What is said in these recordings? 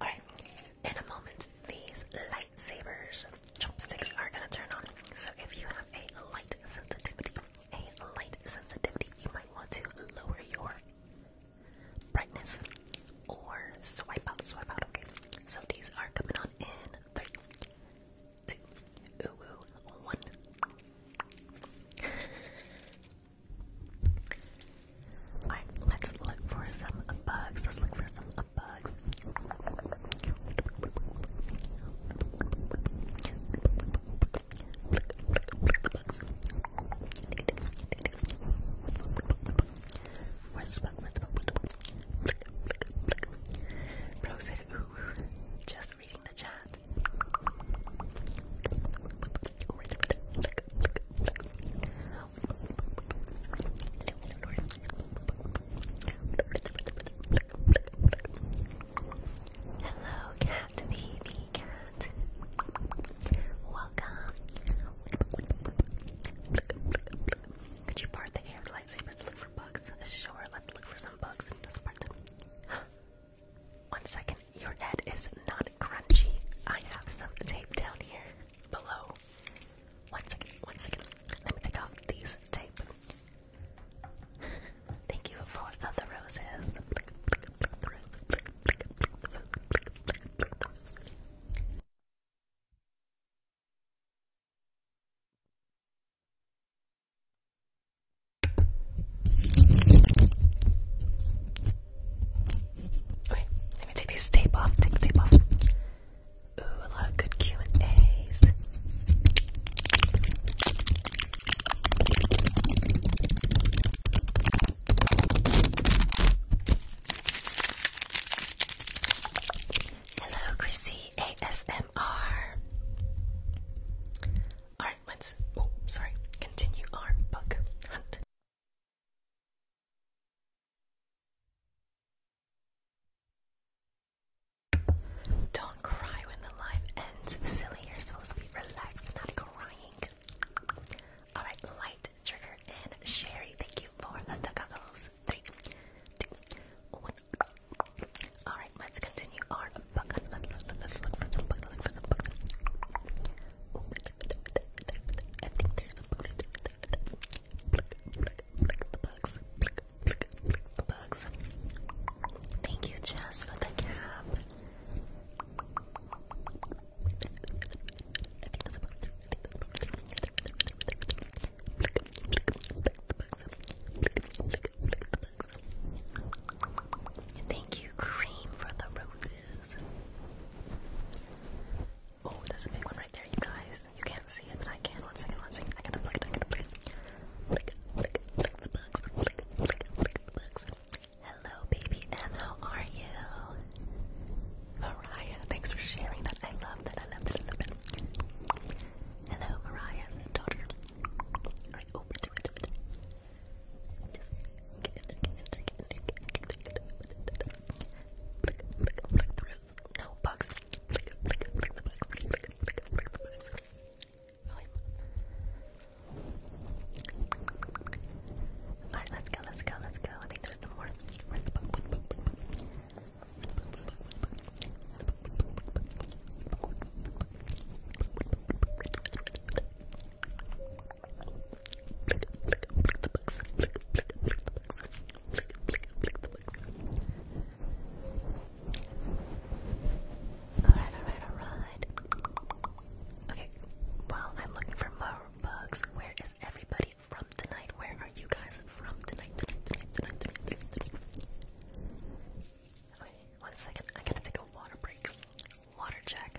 Alright, in a moment, these lightsabers, chopsticks are gonna turn on. So if you have a light sensitivity, a light sensitivity, you might want to lower your brightness or swipe out, swipe out, okay? So these are coming on in three, let's look for some bugs. Let's look for some bugs. Look, the bug? Where's the bug? Bro said, ooh, just the chat. Hello, cat baby cat. Welcome. Could you part the air lightsabers to look for bugs? Sure, let's look for some bugs in this part. One second, your head is not crunchy. I have some tape down here below. One second, one second. Let me take off these tape. Thank you for the roses. Okay, let me take this tape off. Take the tape off. Ooh, a lot of good Q and A's. Hello, Chrissy ASMR. Alright, let's oh sorry, continue our bug hunt. Don't cry when the live ends, silly. You're supposed to be relaxed, not crying. Alright, light, trigger, and sherry. Thank you for the goggles. Three, two, one. Alright, let's continue you are a bucket. look for some bucket. Look for some bucket. I think there's a bucket. Pluck, pluck, pluck the bugs. Pluck, pluck, pluck the bugs. Thank you, Jess, for the cap. I think that's a the bugs. Thank you, Cream, for the roses. Oh, that's a big one right there, you guys. You can't see it, but I can. One second, one second. I gotta pluck I gotta pluck it. Pluck, pluck, the bugs. Pluck, pluck, pluck the bugs. Hello, baby M. How are you? Mariah, thanks for sharing that. I love that. I love that. I love that. Hello, Mariah's daughter. Alright, over to it. No bugs. Flick, flick, flick the bugs. Flick, flick, flick the bugs. Alright, let's go, let's go, let's go. I think there's some more. Where's the bug? Where's the bug? Alright, alright, alright. Okay, while I'm looking for more bugs, where is everybody from tonight? Where are you guys from tonight? Tonight, one second. I gotta take a water break. Water check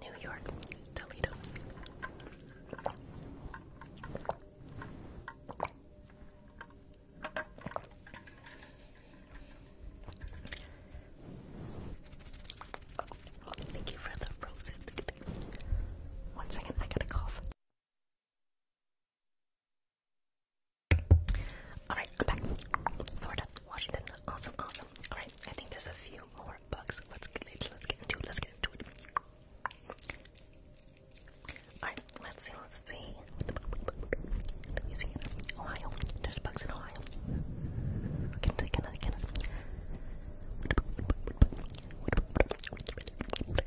New York, Toledo. Thank you for the frozen. One second, I got a cough. Alright, I'm back. Florida, Washington. Awesome, awesome. Alright, I think there's a few more bugs. Let's get it. Let's get into it. Let's get into it. Alright, let's see, let's see. Let me see. Ohio. There's bugs in Ohio. Canada, Canada, Canada.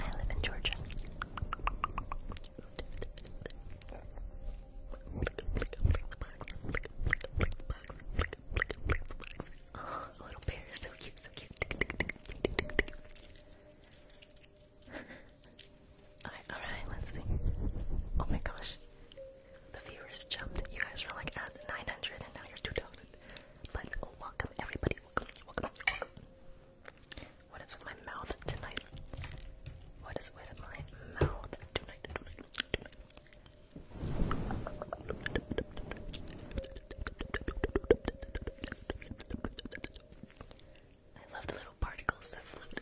I live in Georgia. Oh, little bear is so cute, so cute. Alright, alright, let's see. Oh my gosh. The viewers jumped. You guys were like at 900 and now you're 2000. But welcome everybody, welcome, welcome, welcome. What is with my mouth tonight? What is with my mouth tonight? I love the little particles that float.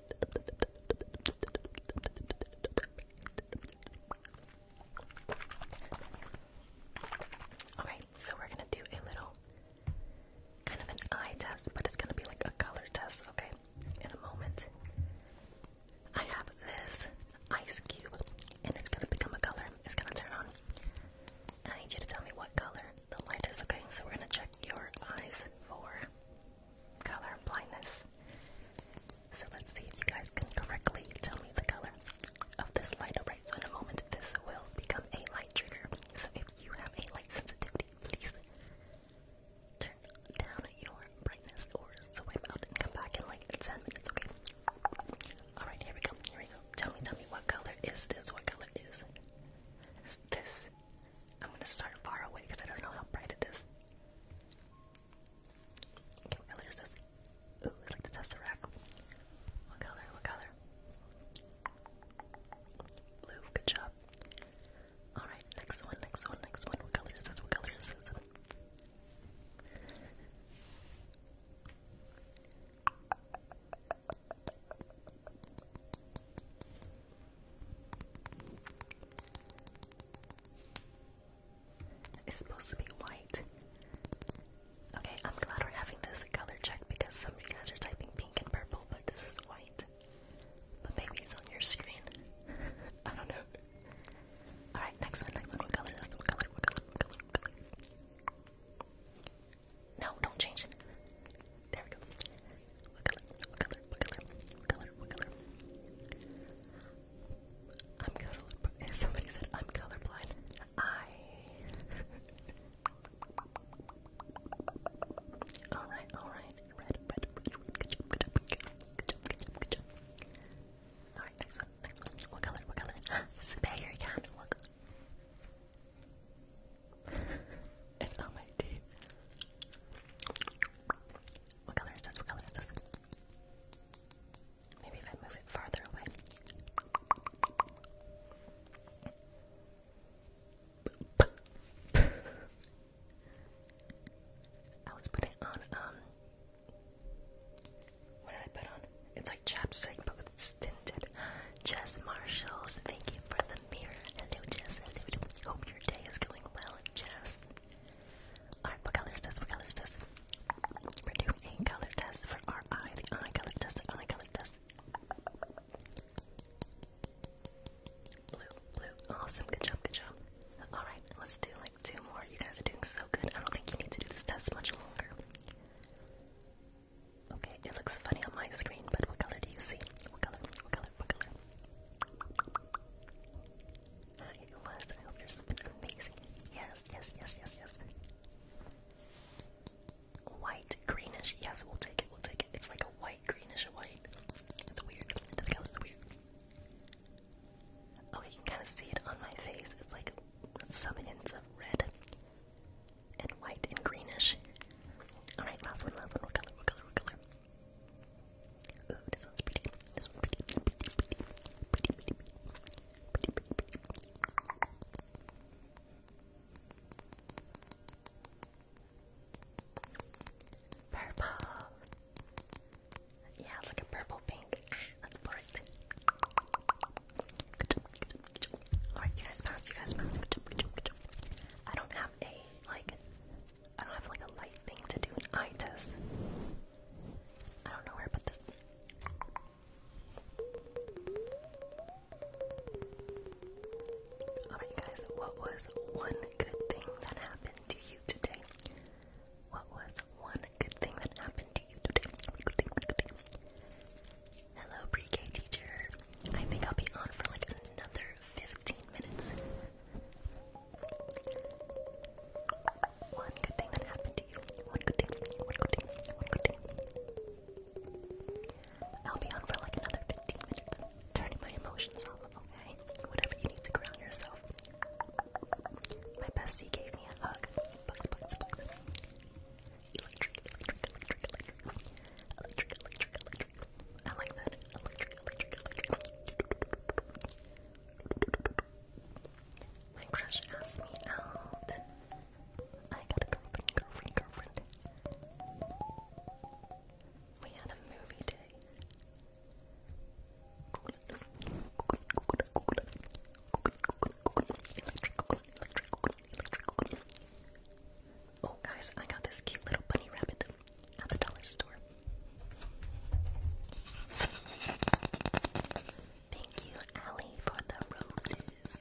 Alright, so we're gonna do a little kind of an eye test, but it's gonna be like a color test, okay? In a moment. I have this ice cube and it's gonna become a color. It's gonna turn on. And I need you to tell me what color the light is, okay? So we're gonna check your eyes for color blindness. So let's see if you guys can correctly tell me the color of this light. Alright, so in a moment this will become a light trigger. So if you have a light sensitivity, please turn down your brightness or swipe out and come back in like 10 minutes, okay? Alright, here we go, here we go. Tell me, tell me what color is this? What color is this? I'm gonna start far away because I don't know how bright it is what color is this? Ooh, it's like the Tesseract. What color? What color? Blue, good job. Alright, next one, next one, next one. What color is this? What color is this? It's supposed to be white. Okay, I'm glad we're having this color check because some of you guys are typing pink and purple, but this is white. But maybe it's on your screen. I don't know. Alright, next one, next one. What color? what color, what color, No, don't change There we go. What color? What color? What color? What color? I'm colorblind. Somebody said I'm colorblind. I. all right, all right. Red, red, Good job, good job, good job, good job, good job, good job. All right, next one, next one. What color? What color? Spare can. What color? it's on my teeth. What color is this? What color is Maybe if I move it farther away. I was putting on, um, what did I put on? It's like chapstick, but with stinted. Jess Marshalls, thank you for the mirror. Hello, Jess. Hope your day is going well, Jess. Alright, what color is this? What color is this? We're doing a color test for our eyes. The eye color test, the eye color test. Blue, blue. Awesome. Good job, good job. Alright, let's do like two more. You guys are doing so good. I don't think you need to do this test much longer. Okay, it looks funny on my screen, but what color do you see? What color? What color? What color? Hi, Lust. I hope you're something amazing. Yes, yes, yes, yes, yes. White, greenish. Yes, we'll take it. We'll take it. It's like a white, greenish white. It's weird. The color's weird. Oh, you can kind of see it on my face. It's like some hints of red and white and greenish. All right, last one, last one. What color? What color? What color? this one's pretty. This one's pretty. Purple. Yeah, it's like a purple pink. That's bright. Alright, you guys pass, you guys pass. I don't have a like I don't have like a light thing to do an eye test. I don't know where to Alright, guys, what was one good thing that happened to you today? What was one good thing that happened to you today? Hello, pre K teacher. I think I'll be on for like another 15 minutes. One good thing that happened to you. One good thing. One good thing. One good thing. I'll be on for like another 15 minutes, turning my emotions off, okay? Whatever you need to ground yourself. My bestie gave me a hug. Bugs, Electric, electric, electric, electric. Electric, electric, electric. Electric, electric, electric. My crush asked me out. I got a girlfriend, girlfriend, girlfriend. We had a movie day. Oh, guys, I got this cute little bunny rabbit at the dollar store. Thank you, Allie, for the roses.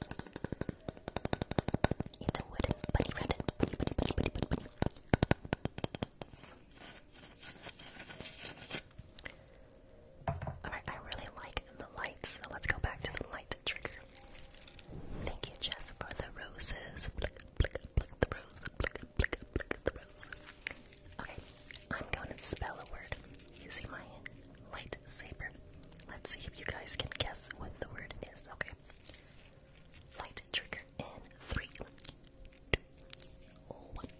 It's a wooden bunny rabbit. Bunny, bunny, bunny, bunny, bunny, bunny. Alright, I really like the lights, so let's go back to the light trigger. Thank you, Jess, for the roses pluck the rose, pluck, pluck, pluck the rose. Okay, I'm going to spell a word using my lightsaber. Let's see if you guys can guess what the word is, okay? Light in three, two, one.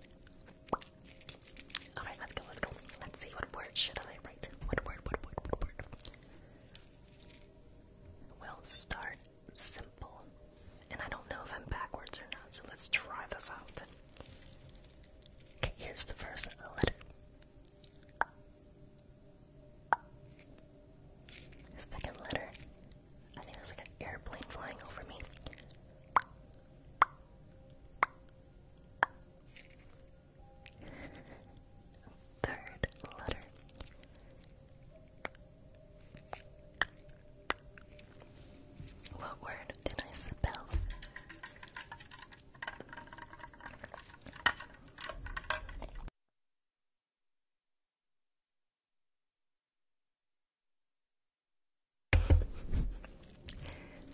Alright, let's go, let's go. Let's see what word should I write. What word, what word, what word? We'll start simple. And I don't know if I'm backwards or not, so let's try this out. Okay, here's the first letter. second letter. I think there's like an airplane flying over me. Third letter. What word did I spell?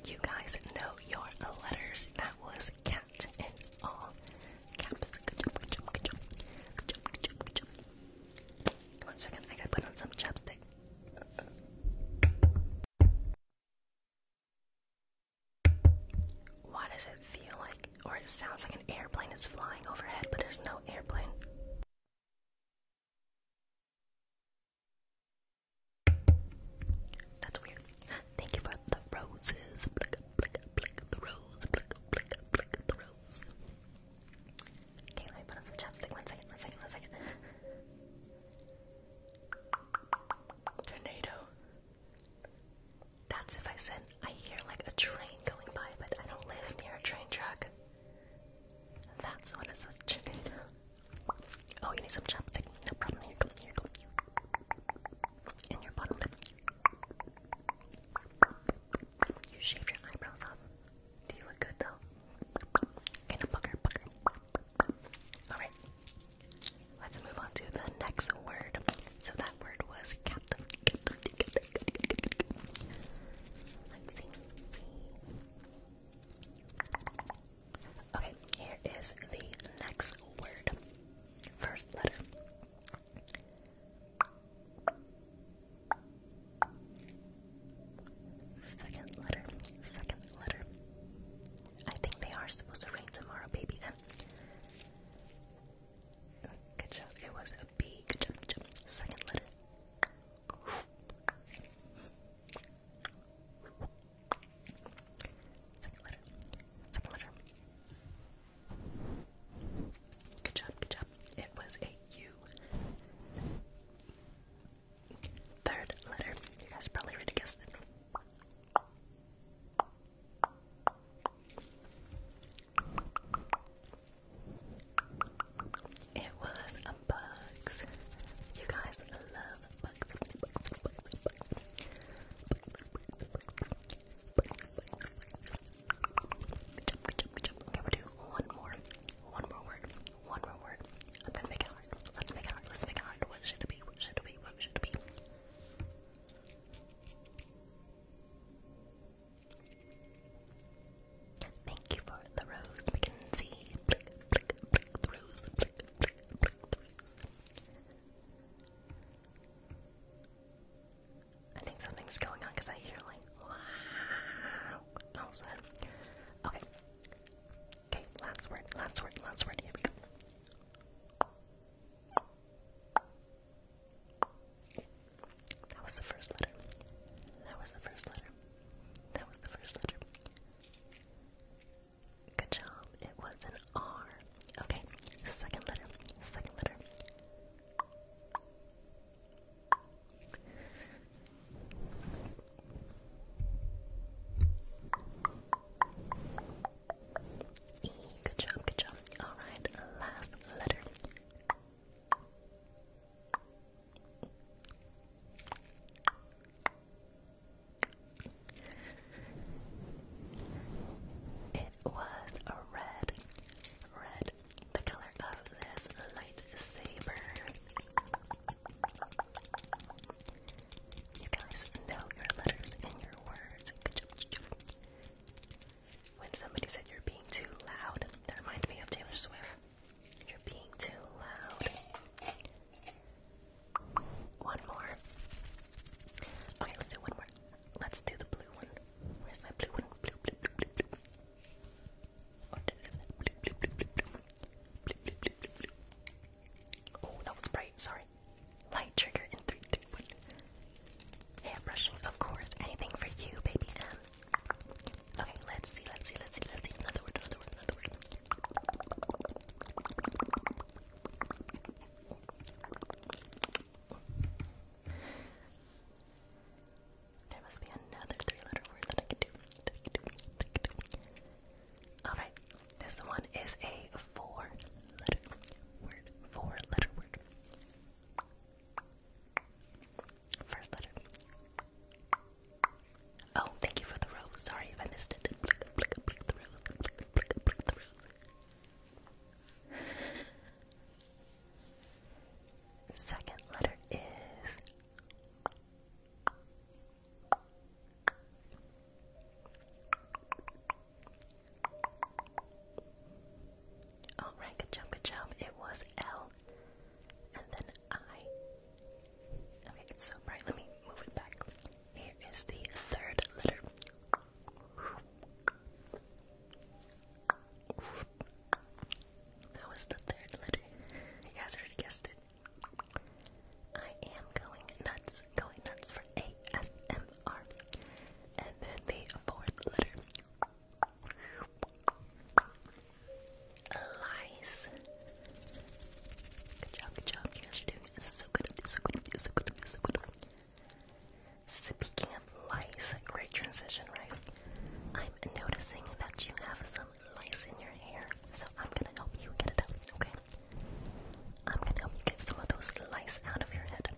you guys know your letters. That was cat in all caps. One second, I gotta put on some chapstick. Why does it feel like, or it sounds like an airplane is flying overhead, but there's no airplane? That's weird. Thank you for the roses. the rose, the rose. Okay, let me put on some chapstick. One second, one second, one second. Tornado. That's if I said I hear like a train going by, but I don't live near a train track. That's what is a tornado. Oh, you need some chapstick. No problem. Here you Here In your bottom lip. You shave your eyebrows off. Do you look good though? Alright. Let's move on to the next word. So that word was cat. Let's see. Okay, here is the next word. First letter. Second letter, second letter. I think they are supposed to rain tomorrow, baby. Uh, good job. It was a B. Good job. Second letter. Second letter. Second letter. Good job. Good job. It was a U. Third letter. You guys probably already guessed it. It was bugs. You guys love bugs. we do one more. One more word. One more word. I'm gonna make it hard. Let's make it hard. Let's make it hard. What should it be? What should it be? What should it be? Thank you for the rose, Mackenzie. the rose. I think something's going on because I hear like wow. Okay, Okay, last word, last word, last word. Here we go. That was the first letter. That was the first letter. That was the first letter. Good job. It was an R. Okay, second letter. Second letter. E, good job, good job. Alright, last letter. It was a red, red, the color of this lightsaber. You guys know your letters and your words. When somebody said you're being too loud, that reminded me of Taylor Swift. You're being too loud. One more. Okay, let's do one more. Let's do the blue one. Where's my blue one? Oh, that was bright, sorry. Light trigger in 3, 2, 1. Hair brushing, of course. Anything for you, baby M. Um, okay, let's see, let's see, let's see, let's see. Another word, another word, another word. There must be another three-letter word that I can do. Alright, this one is a four-letter word. Four-letter word. First letter. Oh, thank you for the rose. Sorry I missed it. the rose. the rose. Second letter is all right, good job, good job. It was L, and then I. Okay, it's so bright. Let me move it back. Here is the third letter. That was the third letter. You guys already guessed it. I am going nuts, going nuts for ASMR. And then the fourth letter. Lies. Good job, good job. You guys are doing so good. So good. So good. So good. Speaking of lies, great transition, right? I'm noticing that you have some um, lice in your hair. So I'm gonna help you get it out, okay? I'm gonna help you get some of those lice out of your head.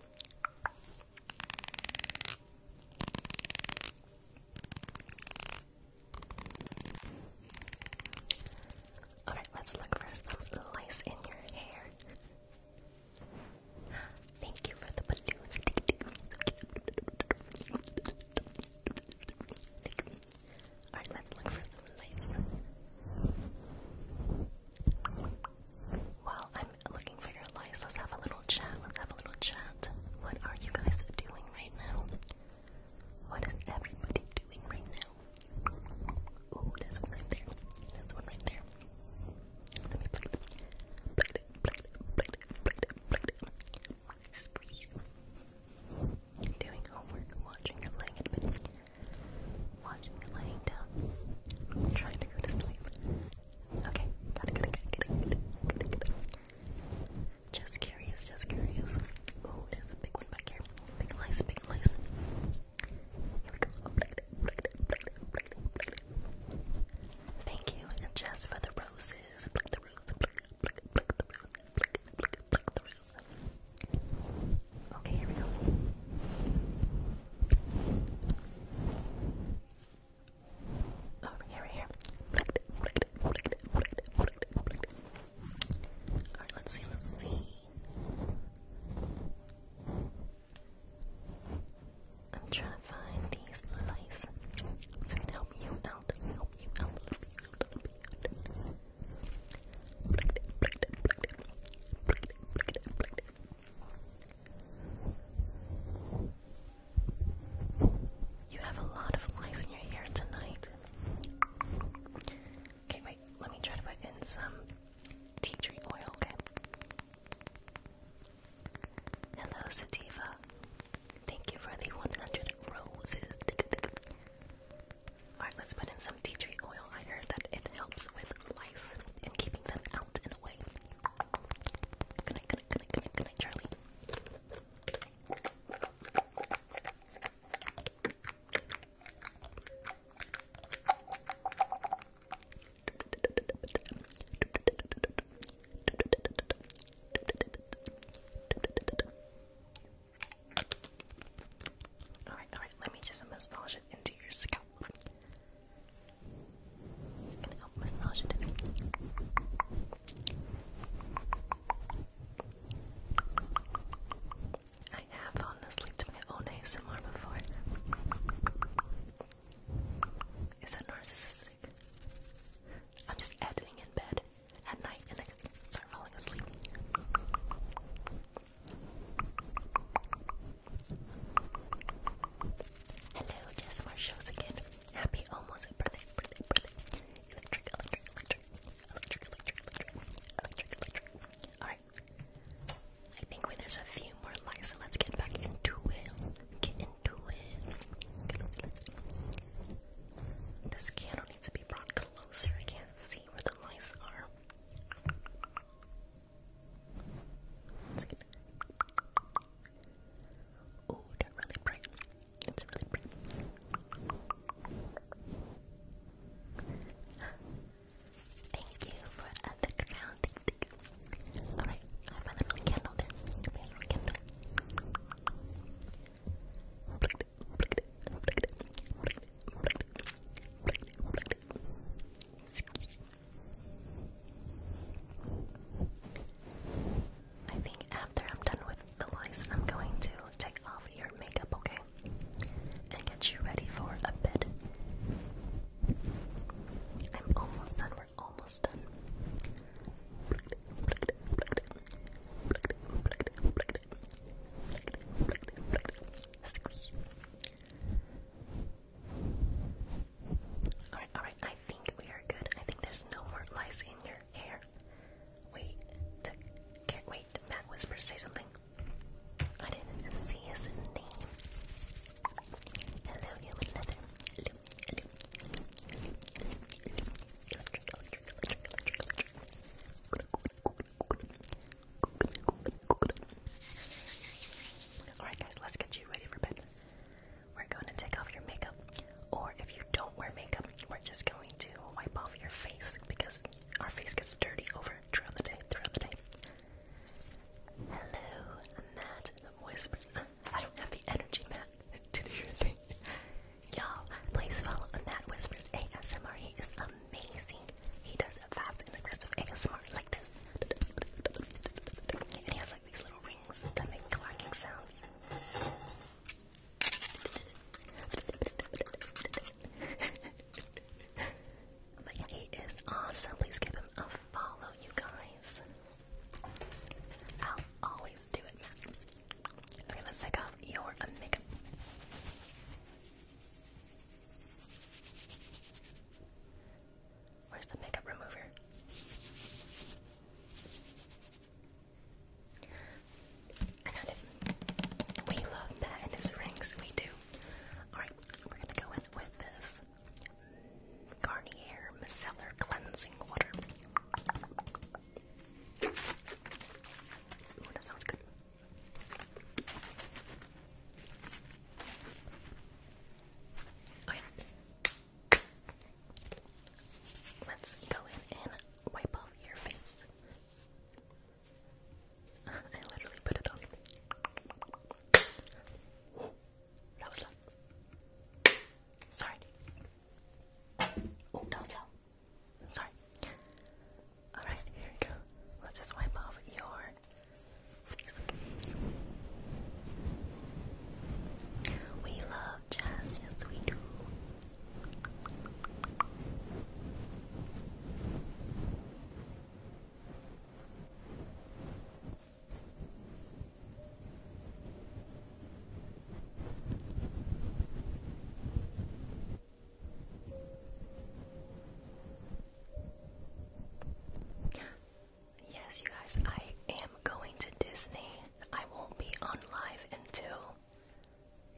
Alright, let's look for some lice in your hair. Thank you for the balloons. Alright, let's look for some lights. While I'm looking for your lights, let's have a little chat. Let's have a little chat. What are you guys doing right now? What is everybody doing right now? Ooh, there's one right there. There's one right there want to sleep. Doing homework, watching it, laying in bed, watching it, laying down, trying to go to sleep. Okay, got it, got it, got it, got it, got it, got it. Just curious, just curious. Oh, there's a big one back here. Big lice, big lice. Here we go. Thank you, and just for the roses. Pluck the rose, pluck, pluck, pluck the rose, Okay, here we go. Over oh, here, right here. Alright, let's see, let's see. I'm trying to find these lights so help you out, help you out, help you out, you have a lot of lice in your hair tonight. Okay, wait, let me try to put in some tea tree oil, okay? Hello, Sativa. Thank you for the 100 roses. Alright, let's put in some tea tree oil. I heard that it helps with lice and keeping them out and away. Good night, good night, good Charlie. Alright, alright, let me just massage it into your scalp. I have honestly done my own ASMR before. Is that narcissistic? I'm just editing in bed at night and I start falling asleep. Hello, just more shows again. Happy almost birthday, Electric, electric, electric, electric, electric, electric, electric, electric. Alright. I think when there's a few more lights, let's get back into it. Get into it. This candle needs to be brought closer, I can't see where the lights are. Oh, that really bright. It's really bright. Thank you for uh, the crown. Alright, I have my little candle there. I think after I'm done with the lights, I'm going to take off your makeup, okay? And get you ready for a bed. I'm almost done, we're almost done. Alright, alright, I think we are good. I think there's no more lice in your hair. Wait, can't wait. Matt Whisper, say something. I didn't see his name. Hello, human leather. Alright, guys, let's get you ready for bed. We're going to take off your makeup, or if you don't wear makeup, we're just going to wipe off your face because our face gets dirty over throughout the day. Throughout the day. Hello, Matt. Whispers. I don't have the energy, Matt, to do your Y'all, please follow Matt Whispers ASMR. He is amazing. He does fast and aggressive ASMR like this. And he has like these little rings that make clacking sounds. but yeah, he is awesome. Please give him a follow, you guys. I'll always do it, Matt. Okay, let's take off your uh, makeup. Where's the makeup remover? I got it. We love that in his rings, we do. Alright, we're gonna go in with this Garnier Micellar Cleansing Water. Ooh, that sounds good. Oh, Let's go in and wipe off your face. I literally put it on. that was loud. Sorry. Oh, that was loud. Sorry. Alright, here we go. Let's just wipe off your face. We love jazz, yes we do. Yes, you guys, I am going to Disney. I won't be on live until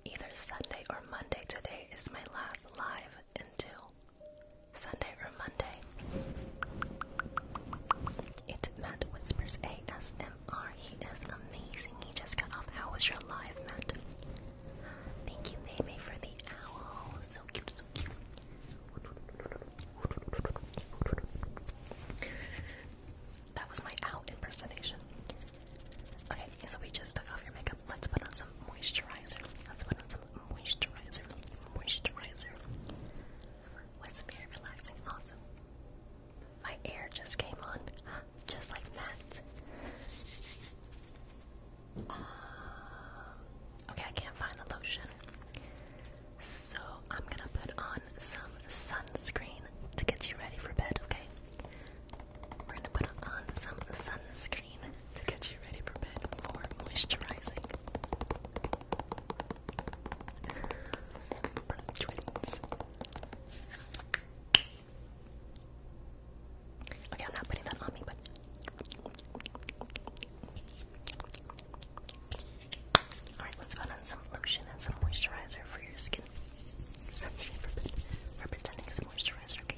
either Sunday or Monday. Today is my last live until Sunday or Monday. It's Matt Whispers ASMR he is amazing. He just got off. How was your live, Matt? Thank you, Maymay, for the owl. So cute, so cute. That was my owl impersonation. Okay, so we just took off your makeup. Let's put on some moisturizer. Let's put on some moisturizer. Moisturizer. Was very relaxing. Awesome. My air just came on just like that. Um, okay, I can't find the lotion. So I'm gonna put on some sunscreen to get you ready for bed, okay? We're gonna put on some sunscreen to get you ready for bed for moisturizing. Okay, I'm not putting that on me, but Alright, let's put on some lotion and some moisturizer for your skin. Sunscreen for, for pretending moisturizer, Okay,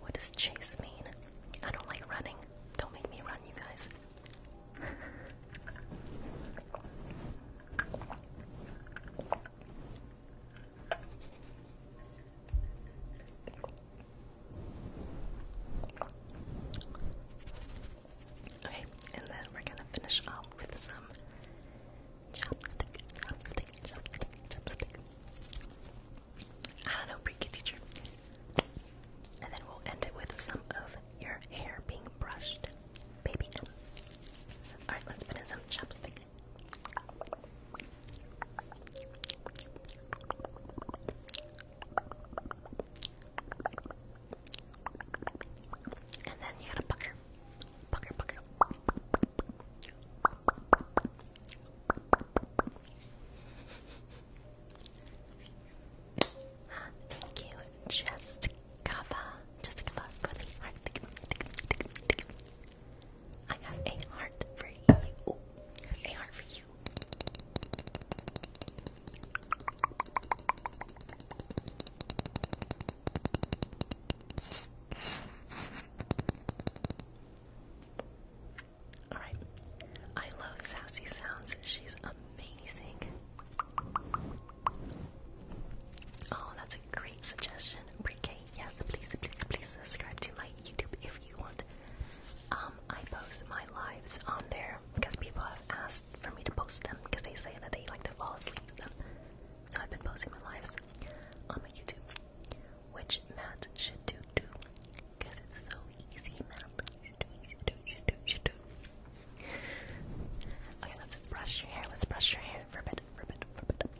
What does chase mean? I don't like running. Don't make me run, you guys. Okay, and then we're gonna finish off with some chopstick, chopstick, chopstick, chopstick. I don't know, pre teacher. And then we'll end it with some of your hair being brushed, baby. All right, let's put in some chopstick. And then you gotta pucker, pucker, pucker. Thank you, just cover. I have a heart for you. a heart for you. Alright. I love Sassy Sounds. She's amazing. Oh, that's a great suggestion. pre yes, please, please, please subscribe to my YouTube if you want. Um, I post my lives on there because people have asked for me to post them because they say that they like to fall asleep to them. So I've been posting my lives on my YouTube, which Matt should do too, because it's so easy, Matt. Should do, should do, should do, should do. Okay, let's brush your hair. Let's brush your hair for a bit, for a bit, for a bit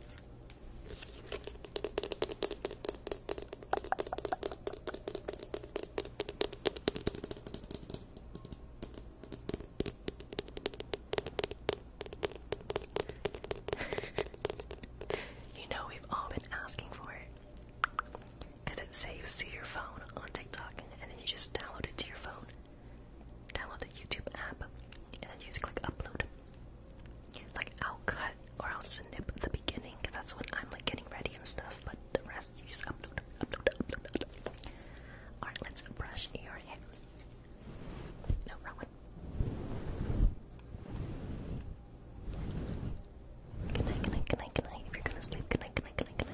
you know we've all been asking for it. Because it saves to your phone on TikTok, and then you just download it to your phone. Download the YouTube app, and then you just click upload. Like, I'll cut or I'll snip the beginning, that's when I'm like getting ready and stuff, but the rest you just upload, upload, upload, Alright, let's brush your hair. No, wrong one. Good night, good If you're gonna sleep, good night, good night,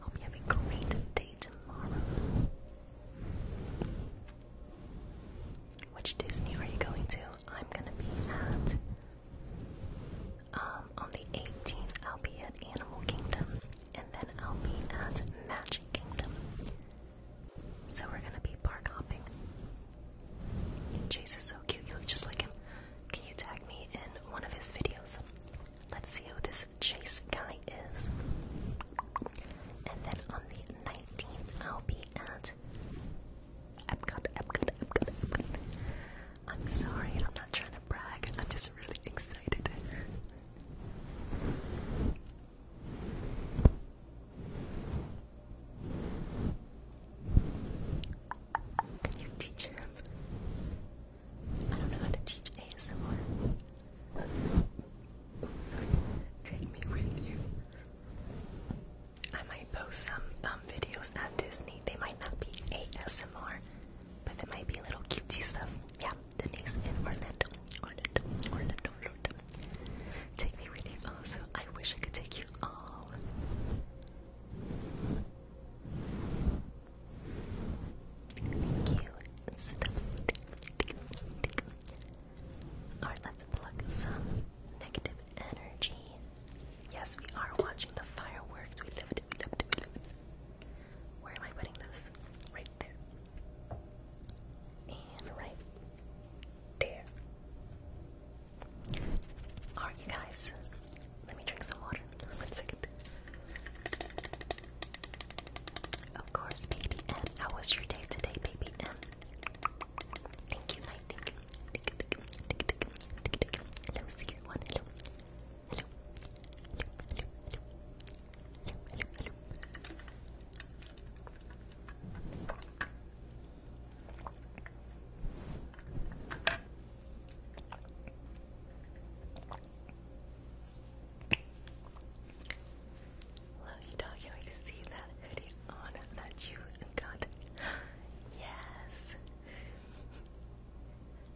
Hope you have a great day tomorrow. Which Disney are you going to? I'm gonna be at um on the 18th I'll be at Animal Kingdom and then I'll be at Magic Kingdom. So we're gonna be park hopping. Chase is so cute, you look just like him. Can you tag me in one of his videos? Let's see who this Chase guy is. And then on the 19th, I'll be at Epcot, Epcot, Epcot, Epcot. I'm sorry, I'm not trying to brag, I'm just really excited. Can you teach him? I don't know how to teach ASMR. Take me with you. I might post some um, videos at Disney. They might not be ASMR, but they might be little cutesy stuff. Yeah, Denise in Orlando. Orlando, Orlando, Florida. Take me with you also. I wish I could take you Alright, let's plug some negative energy. Yes, we are watching the fireworks. We love it, we it, we it. Where am I putting this? Right there. And right there. Alright, guys. Let me drink some water. One second. Of course, baby M. How was your day today, baby M? Thank you, night. Love you, dog. see that hoodie on that you got. Yes.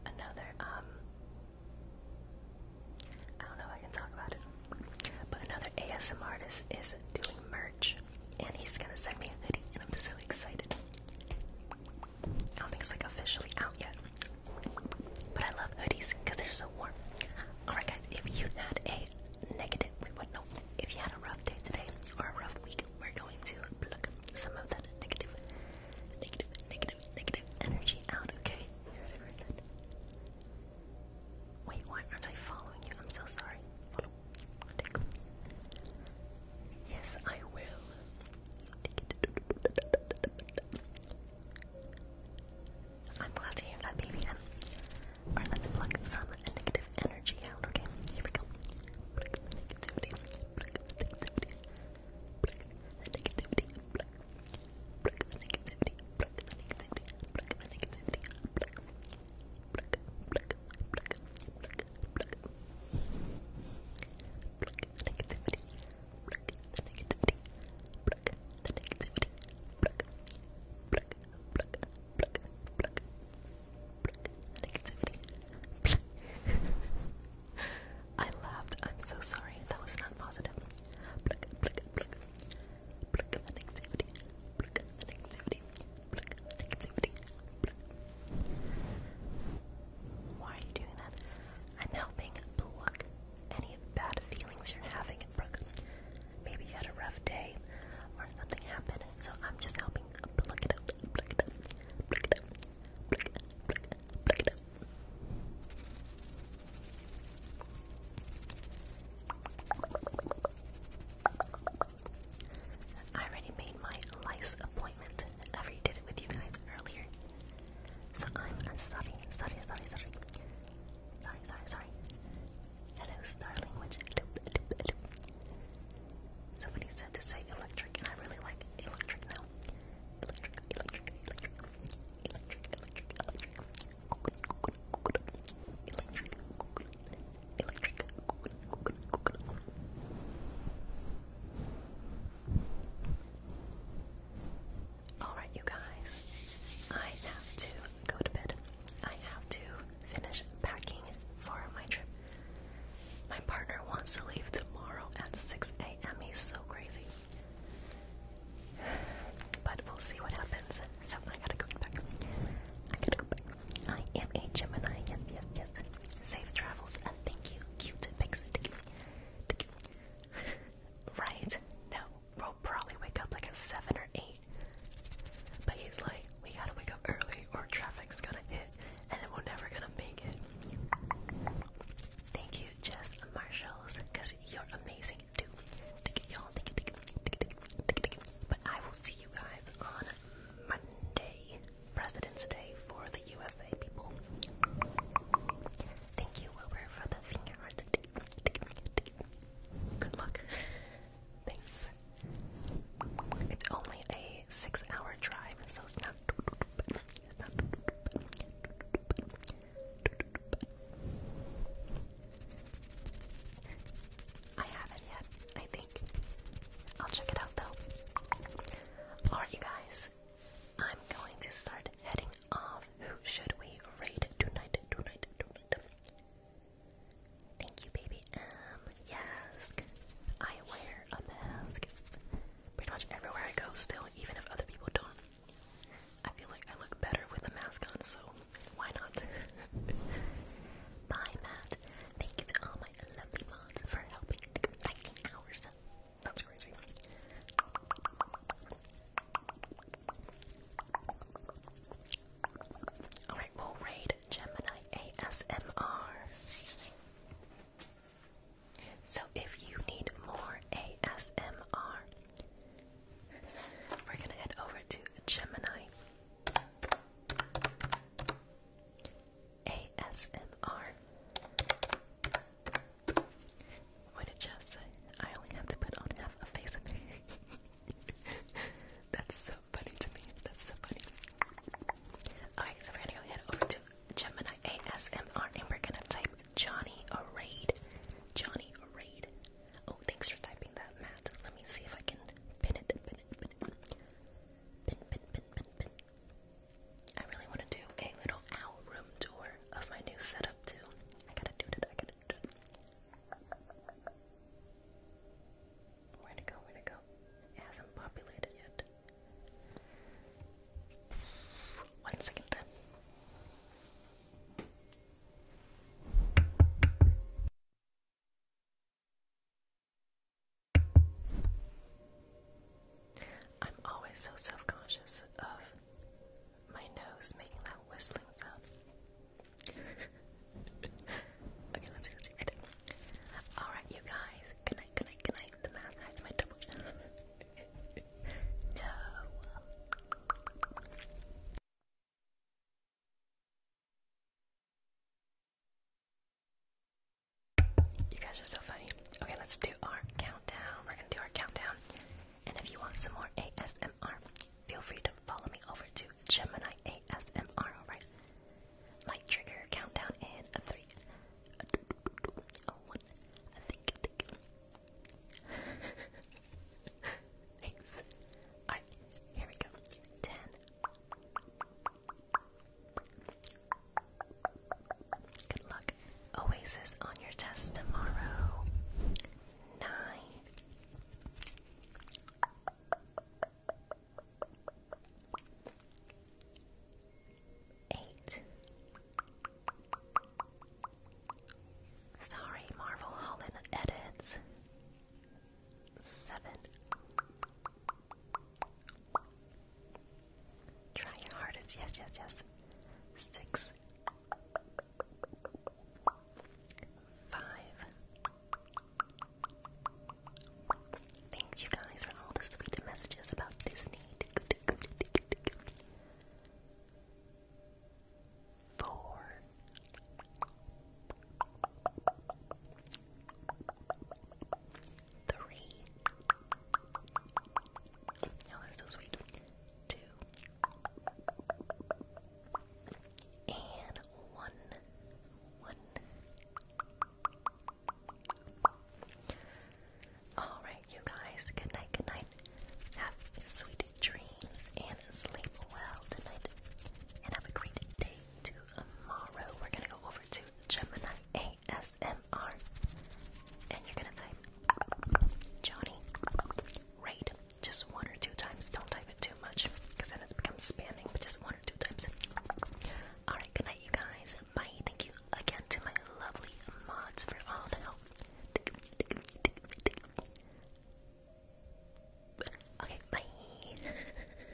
Another um. I don't know if I can talk about it, but another ASM artist is doing merch and he's gonna send me a hoodie, and I'm so excited. I don't think it's like officially out yet, but I love hoodies because they're so warm. Alright, guys, if you had a negative, no, if you had a rough day today or a rough week, we're going to pluck some of that negative, negative, negative, negative energy out, okay? Wait, why aren't I following you? I'm so sorry. Yes, I will. I'm glad to hear that, baby. let's pluck some negative energy out, okay? Here we go. I laughed. I'm so sorry. That was not positive. Why are you doing that? I'm helping pluck any bad feelings you're having, Brooke. Maybe you had a rough day or something happened, so I'm just helping pluck it up, pluck it up, pluck it up, pluck it up, pluck it up. I already made my lice appointment. I already did it with you guys earlier. So I'm sorry, sorry, sorry, sorry. Sorry, sorry, sorry. Hello, star language. Somebody said to say electric, and I really like electric now. Electric, electric, electric. Electric, electric, electric. Coconut, coconut, coconut. Electric, electric Alright, you guys, I have to go to bed. I have to finish packing for my trip. My partner wants to leave tomorrow at 6 a.m. He's so crazy. But we'll see what happens. So I gotta go back. I gotta go back. I am a Gemini. Yes, yes, yes. Safe travels. Uh, thank you. Cute pixie. right? No. We'll probably wake up like at 7 or 8. But he's like, we gotta wake up early or traffic's gonna hit and we're never gonna make it. Thank you, Jess Marshalls, because you're amazing too. Y'all, but I will see you guys on Monday, President's Day for the USA people. Thank you, Wilbur, for the finger. Good luck. Thanks. It's only a six-hour drive, so it's not. I haven't yet. I I'll check it out though. Alright, you guys. I'm going to start heading off. Who should we raid tonight? Tonight, tonight. Thank you, baby M. Um, yes. I wear a mask pretty much everywhere I go still, even if other people don't. I feel like I look better with a mask on, so why not? Bye, Matt. Thank you to all my 11 mods for helping 19 hours. That's crazy. Alright, we'll raid Gemini ASMR. So if you need more ASMR, we're gonna head over to Gemini. ASMR. What did Jeff I only have to put on half a face That's so funny to me. That's so funny. Alright, so we're gonna go head over to Gemini ASMR and we're gonna type Johnny Raid. Johnny Raid. Oh, thanks for typing that, Matt. Let me see if I can pin it. I really want to do a little owl room tour of my new setup too. I gotta do it. I gotta do Where'd go? Where'd go? It hasn't populated yet. One second. I'm always so self conscious of my nose making that whistling sound. okay, let's see, let's Alright, you guys. Good night, good night, good night. The mask hides my double chin. no. You guys are so funny. Okay, let's do our countdown. We're gonna do our countdown. And if you want some more ASMR, feel free to follow me over to Gemini ASMR, alright? Light trigger countdown in a three, Alright, here we go. Ten. Good luck. Oasis on your test tomorrow. Nine. Eight. Sorry, Marvel Holland edits. Seven. Try your hardest. Yes, yes, yes. Six. Five. Thanks, you guys, for all the sweet messages about Disney. Four. Three. Y'all are so sweet. Two. And one. One. Alright, you guys. Good night, good night. Have sweet dreams and sleep well tonight. And have a great day tomorrow. We're gonna go over to Gemini ASMR, and you're gonna type Johnny Raid just one or two times. Don't type it too much because then it becomes spamming, but just one or two times. Alright, good night, you guys. Bye. Thank you again to my lovely mods for all the help. Okay, bye.